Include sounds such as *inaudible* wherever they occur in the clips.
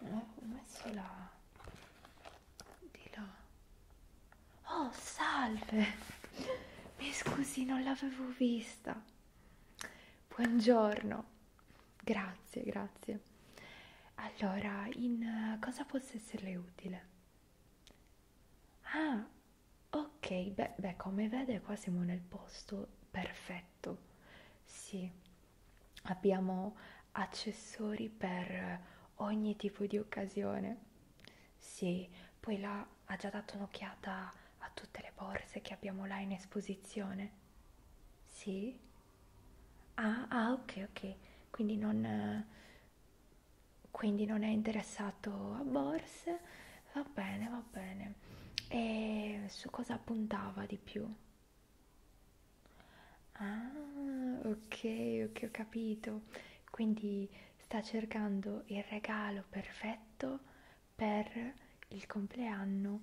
Non avevo messo là. Di là. Oh, salve! Mi scusi, non l'avevo vista. Buongiorno. Grazie, grazie. Allora, in eh, cosa posso esserle utile? Ah, Ok, beh, beh, come vede qua siamo nel posto perfetto. Sì, abbiamo accessori per ogni tipo di occasione. Sì, poi là ha già dato un'occhiata a tutte le borse che abbiamo là in esposizione. Sì? Ah, ah ok, ok. Quindi non, quindi non è interessato a borse Va bene, va bene. E su cosa puntava di più? Ah, ok, ok, ho capito. Quindi sta cercando il regalo perfetto per il compleanno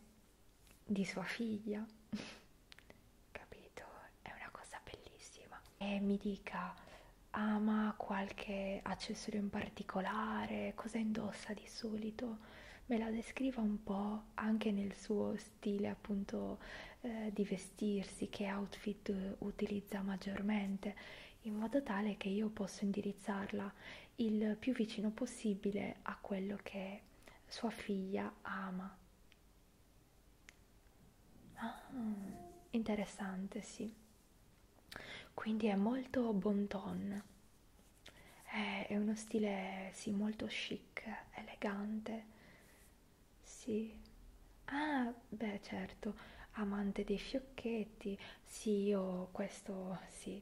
di sua figlia. *laughs* capito, è una cosa bellissima. E mi dica, ama qualche accessorio in particolare? Cosa indossa di solito me la descriva un po' anche nel suo stile appunto eh, di vestirsi, che outfit utilizza maggiormente, in modo tale che io posso indirizzarla il più vicino possibile a quello che sua figlia ama. Ah, interessante, sì quindi è molto bon ton è, è uno stile sì molto chic elegante sì ah beh certo amante dei fiocchetti sì io questo sì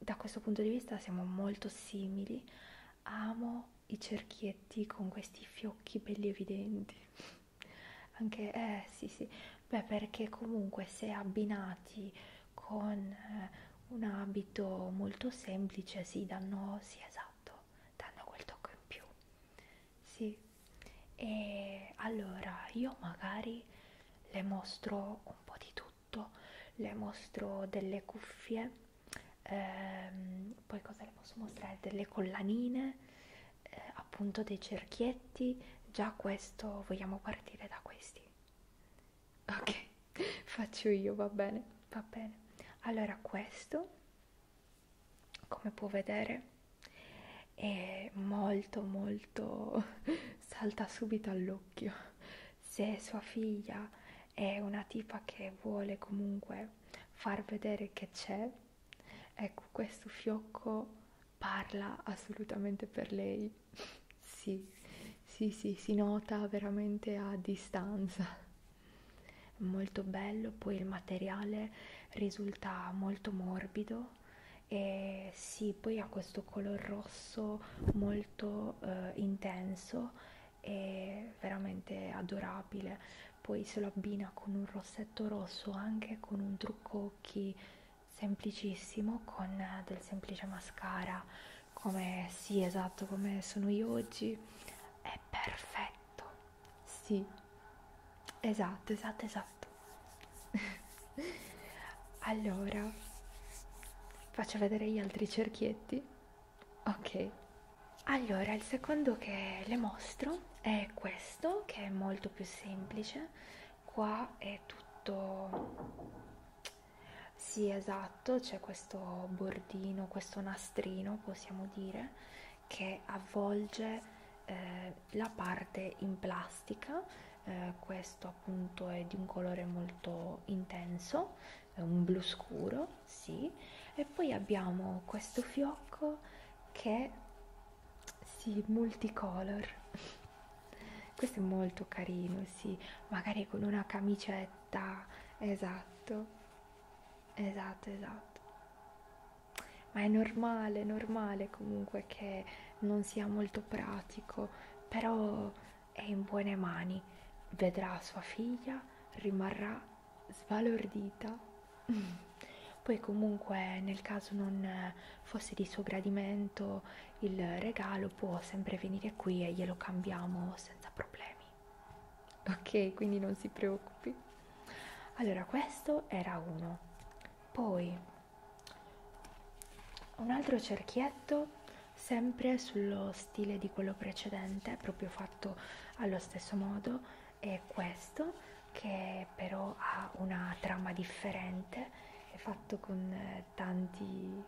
da questo punto di vista siamo molto simili amo i cerchietti con questi fiocchi belli evidenti anche eh sì sì Beh, perché comunque se abbinati con eh, un abito molto semplice si danno, sì esatto, danno quel tocco in più. Sì, e allora io magari le mostro un po' di tutto, le mostro delle cuffie, ehm, poi cosa le posso mostrare? Delle collanine, eh, appunto dei cerchietti, già questo vogliamo partire da questi ok *laughs* faccio io va bene va bene allora questo come può vedere è molto molto *laughs* salta subito all'occhio se sua figlia è una tipa che vuole comunque far vedere che c'è ecco questo fiocco parla assolutamente per lei. sì, sì, sì, si nota veramente a distanza. È molto bello, poi il materiale risulta molto morbido e sì, poi ha questo color rosso molto eh, intenso e veramente adorabile. Poi se lo abbina con un rossetto rosso, anche con un trucco occhi semplicissimo con eh, del semplice mascara come sì esatto come sono io oggi è perfetto sì esatto esatto esatto *laughs* allora faccio vedere gli altri cerchietti ok allora il secondo che le mostro è questo che è molto più semplice qua è tutto sì esatto c'è questo bordino questo nastrino possiamo dire che avvolge eh, la parte in plastica eh, questo appunto è di un colore molto intenso è un blu scuro sì e poi abbiamo questo fiocco che sì, multicolor questo è molto carino, sì, magari con una camicetta, esatto, esatto, esatto. Ma è normale, normale comunque che non sia molto pratico, però è in buone mani. Vedrà sua figlia, rimarrà sbalordita. *laughs* poi comunque nel caso non fosse di suo gradimento il regalo può sempre venire qui e glielo cambiamo senza problemi ok quindi non si preoccupi allora questo era uno poi un altro cerchietto sempre sullo stile di quello precedente proprio fatto allo stesso modo è questo che però ha una trama differente, è fatto con eh, tanti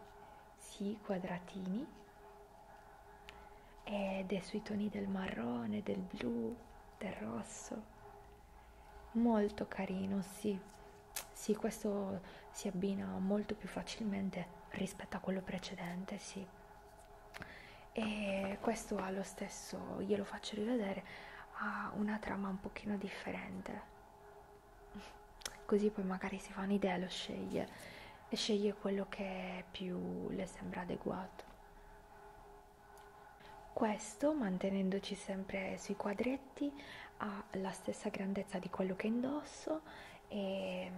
sì quadratini ed è sui toni del marrone, del blu, del rosso. Molto carino, sì. Sì, questo si abbina molto più facilmente rispetto a quello precedente, sì. E questo ha lo stesso, glielo faccio rivedere, ha una trama un pochino differente così poi magari si fa un'idea lo sceglie e sceglie quello che più le sembra adeguato questo mantenendoci sempre sui quadretti ha la stessa grandezza di quello che indosso e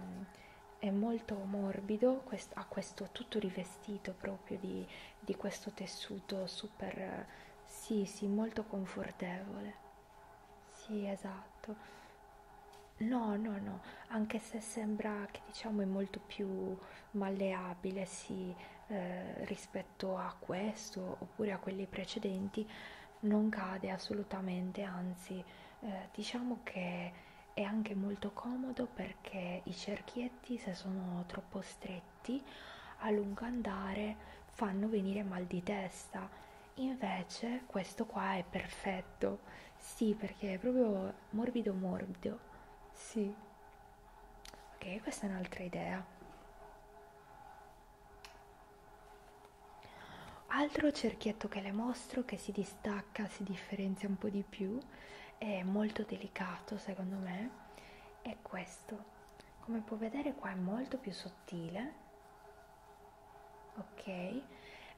è molto morbido, ha questo tutto rivestito proprio di, di questo tessuto super, sì, sì, molto confortevole. Sì, esatto. No, no, no, anche se sembra che diciamo è molto più malleabile, sì, eh, rispetto a questo oppure a quelli precedenti, non cade assolutamente, anzi, eh, diciamo che è anche molto comodo perché i cerchietti, se sono troppo stretti, stretti a lungo andare fanno venire mal di testa invece questo qua è perfetto sì perché è proprio morbido morbido sì ok questa è un'altra idea altro cerchietto che le mostro che si distacca si differenzia un po' di più è molto delicato secondo me è questo come puoi vedere qua è molto più sottile ok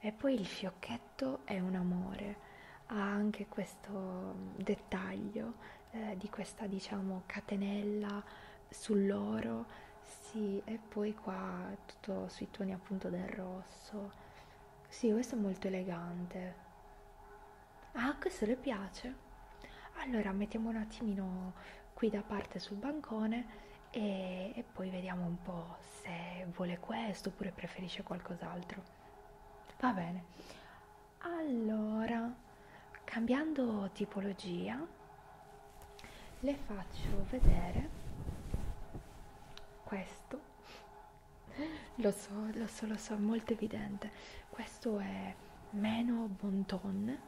e poi il fiocchetto è un amore ha anche questo dettaglio eh, di questa diciamo catenella sull'oro sì e poi qua tutto sui toni appunto del rosso sì questo è molto elegante Ah, questo le piace? Allora mettiamo un attimino qui da parte sul bancone e, e poi vediamo un po' se vuole questo oppure preferisce qualcos'altro. Va bene. Allora, cambiando tipologia, le faccio vedere questo lo so, lo so, lo so, è molto evidente. Questo è meno bon ton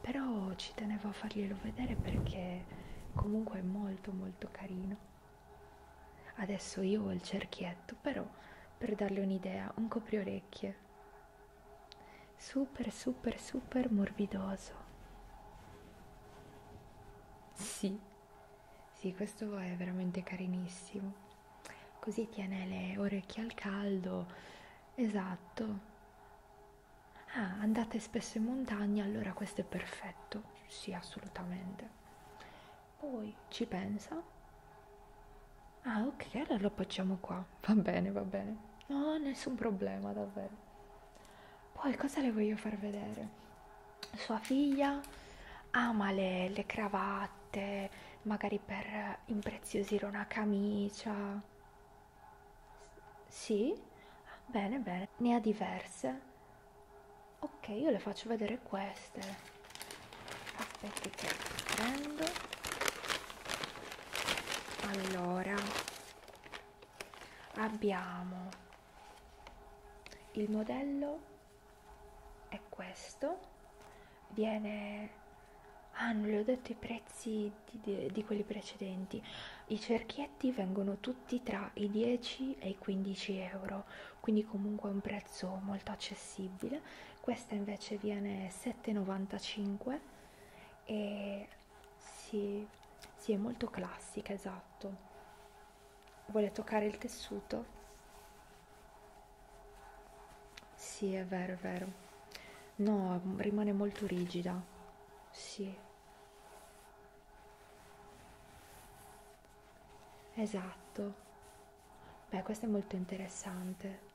però ci tenevo a farglielo vedere perché comunque è molto molto carino adesso io ho il cerchietto però per darle un'idea un copriorecchie super super super morbidoso sì sì questo è veramente carinissimo così tiene le orecchie al caldo esatto ah andate spesso in montagna allora questo è perfetto sì assolutamente poi ci pensa ah ok allora lo appoggiamo qua va bene va bene no nessun problema davvero poi cosa le voglio far vedere sua figlia ama le, le cravatte magari per impreziosire una camicia. Sì? Bene, bene. Ne ha diverse. Ok, io le faccio vedere queste. Aspetti che prendo. Allora, abbiamo il modello è questo viene ah non le ho detto i prezzi di, di quelli precedenti i cerchietti vengono tutti tra i 10 e i 15 euro quindi comunque è un prezzo molto accessibile questa invece viene 7,95 e si, si è molto classica esatto vuole toccare il tessuto sì, è vero, è vero. No, rimane molto rigida. Sì. Esatto. Beh, questo è molto interessante.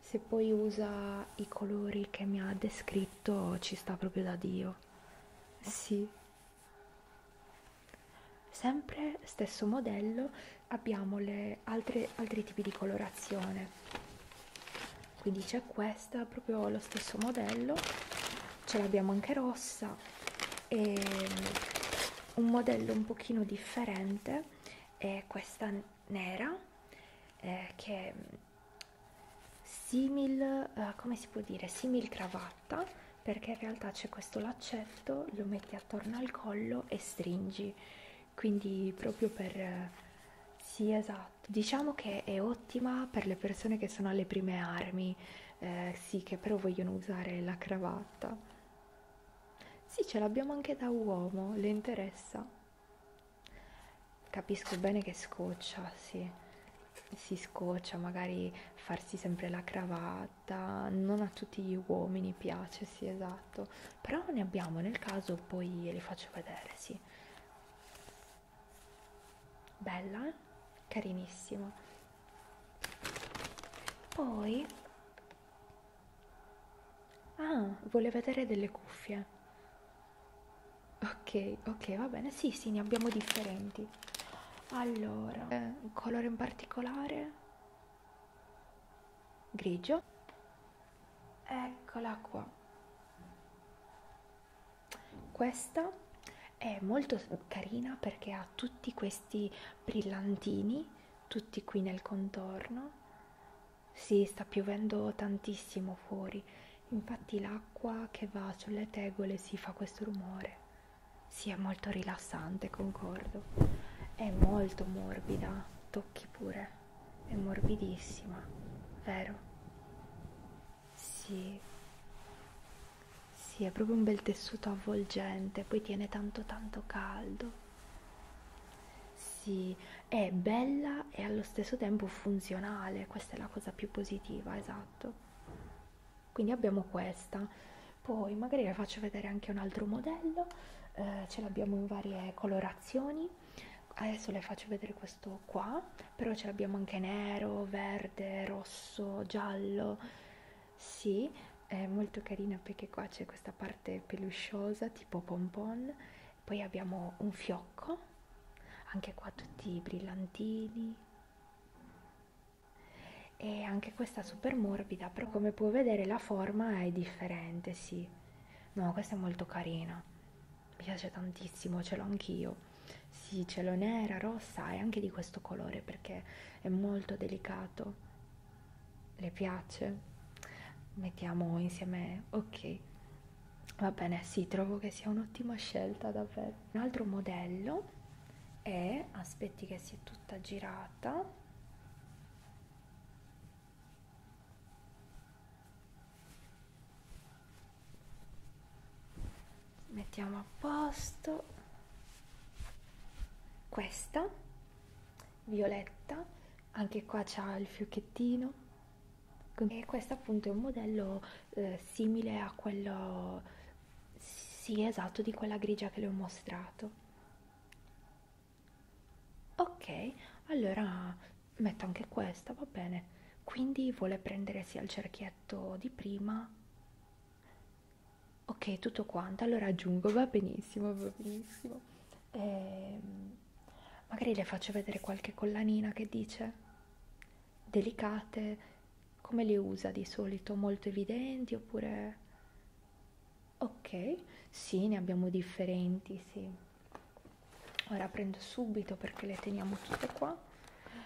Se poi usa i colori che mi ha descritto, ci sta proprio da Dio. Sì sempre stesso modello abbiamo le altre, altri tipi di colorazione quindi c'è questa proprio lo stesso modello ce l'abbiamo anche rossa e mm, un modello un pochino differente è questa nera eh, che è mm, simil eh, come si può dire simil cravatta perché in realtà c'è questo laccetto lo metti attorno al collo e stringi oggi quindi proprio per sì esatto diciamo che è ottima per le persone che sono alle prime armi eh, sì che però vogliono usare la cravatta sì ce l'abbiamo anche da uomo le interessa capisco bene che scoccia sì si scoccia magari farsi sempre la cravatta fatta, non a tutti gli uomini piace, sì esatto, però ne abbiamo nel caso, poi le faccio vedere, sì. Bella, eh? carinissima. Poi... Ah, vuole vedere delle cuffie. Ok, ok, va bene. Sì, sì, ne abbiamo differenti. Allora, eh, un colore in particolare? grigio. Eccola qua. Questa è molto carina perché ha tutti questi brillantini, tutti qui nel contorno. Si sì, sta piovendo tantissimo fuori, infatti l'acqua che va sulle tegole si fa questo rumore. Sì, è molto rilassante, concordo. È molto morbida, tocchi pure. È morbidissima, vero? Sì. Sì, è proprio un bel tessuto avvolgente, poi tiene tanto tanto caldo. Sì, è bella e allo stesso tempo funzionale, questa è la cosa più positiva, esatto. Quindi abbiamo questa poi magari vi faccio vedere anche un altro modello eh, ce l'abbiamo in varie colorazioni adesso le faccio vedere questo qua però ce l'abbiamo anche nero verde rosso giallo sì è molto carina perché qua c'è questa parte pelusciosa tipo pompon poi abbiamo un fiocco anche qua tutti i brillantini e anche questa super morbida però come puoi vedere la forma è differente sì no questa è molto carina mi piace tantissimo ce l'ho anch'io sì ce l'ho nera rossa e anche di questo colore perché è molto delicato le piace mettiamo insieme ok va bene sì trovo che sia un'ottima scelta davvero un altro modello è aspetti che si è tutta girata fatta mettiamo a posto questa violetta anche qua c'ha il fiocchettino e questo appunto è un modello eh, simile a quello sì esatto di quella grigia che le ho mostrato ok allora metto anche questa va bene quindi vuole prendere sia il cerchietto di prima ok tutto quanto allora aggiungo va benissimo va benissimo e ehm, magari le faccio vedere qualche collanina che dice delicate come le usa di solito molto evidenti oppure Ok, sì, ne abbiamo differenti, sì. Ora prendo subito perché le teniamo tutte qua.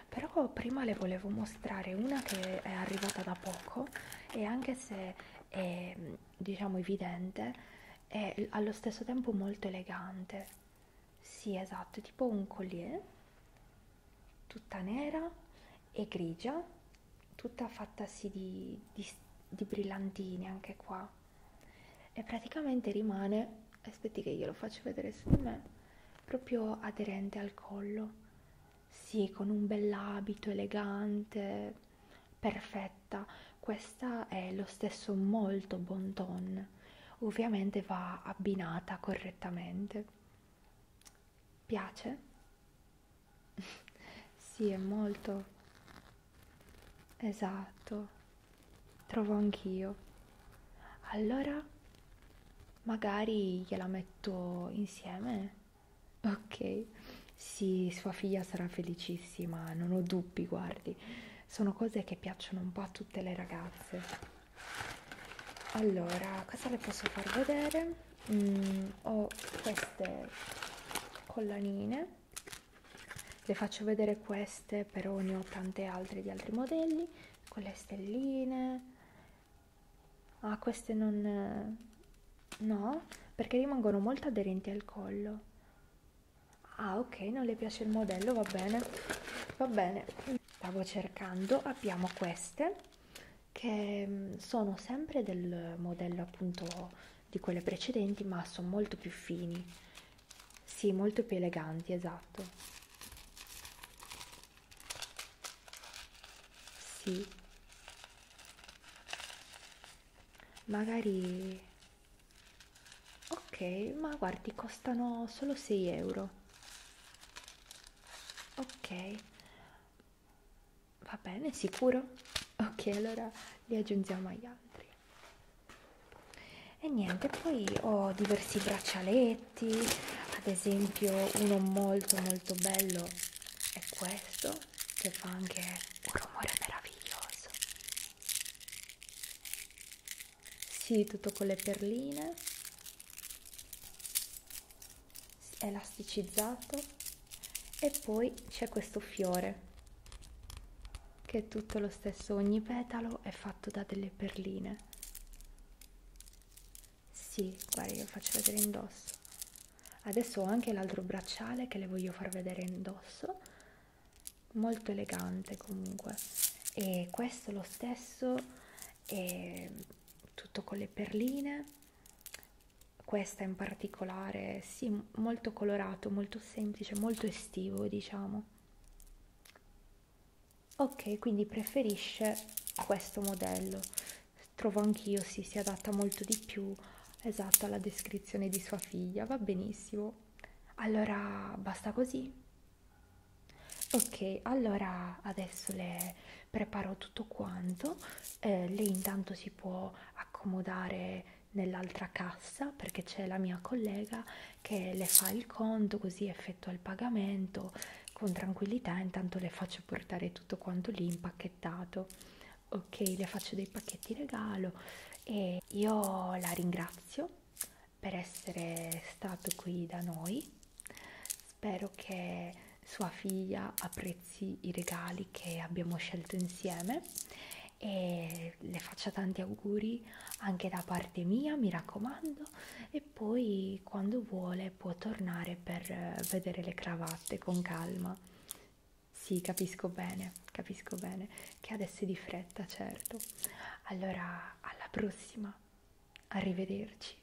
Però prima le volevo mostrare una che è arrivata da poco e anche se è diciamo evidente è allo stesso tempo molto elegante. Sì, esatto, è tipo un collier tutta nera e grigia, tutta fattasi di, di, di brillantini anche qua. E praticamente rimane, aspetti che glielo faccio vedere su di me, proprio aderente al collo. Sì, con un bell'abito elegante, perfetta. Questa è lo stesso molto bon ton. Ovviamente va abbinata correttamente. Piace? sì, è molto esatto, trovo anch'io. Allora, magari gliela metto insieme. Ok, sì, sua figlia sarà felicissima, non ho dubbi, guardi. Sono cose che piacciono un po' a tutte le ragazze. Allora, cosa le posso far vedere? mm, ho queste collanine le faccio vedere queste però ne ho tante altre di altri modelli con le stelline ah queste non eh, no perché rimangono molto aderenti al collo ah ok non le piace il modello va bene va bene stavo cercando abbiamo queste che mm, sono sempre del modello appunto di quelle precedenti ma sono molto più fini sì molto più eleganti esatto sì magari ok ma guardi costano solo 6 euro ok Va bene, sicuro? Ok, allora li aggiungiamo agli altri. E niente, poi ho diversi braccialetti, ad esempio uno molto molto bello è questo, che fa anche un rumore meraviglioso. Sì, tutto con le perline elasticizzato e poi c'è questo fiore che è tutto lo stesso ogni petalo è fatto da delle perline sì guarda io faccio vedere indosso adesso ho anche l'altro bracciale che le voglio far vedere indosso molto elegante comunque e questo lo stesso è tutto con le perline questa in particolare, sì, molto colorato, molto semplice, molto estivo, diciamo. Ok, quindi preferisce questo modello. Trovo anch'io sì, si adatta molto di più esatto alla descrizione di sua figlia, va benissimo. Allora basta così. Ok, allora adesso le preparo tutto quanto eh, lei intanto si può accomodare nell'altra cassa perché c'è la mia collega che le fa il conto così effettua il pagamento con tranquillità intanto le faccio portare tutto quanto lì impacchettato ok le faccio dei pacchetti regalo e io la ringrazio per essere stato qui da noi Spero che sua figlia apprezzi i regali che abbiamo scelto insieme e le faccia tanti auguri anche da parte mia, mi raccomando, e poi quando vuole può tornare per eh, vedere le cravatte con calma. Sì, capisco bene, capisco bene che adesso è di fretta, certo. Allora, alla prossima. Arrivederci.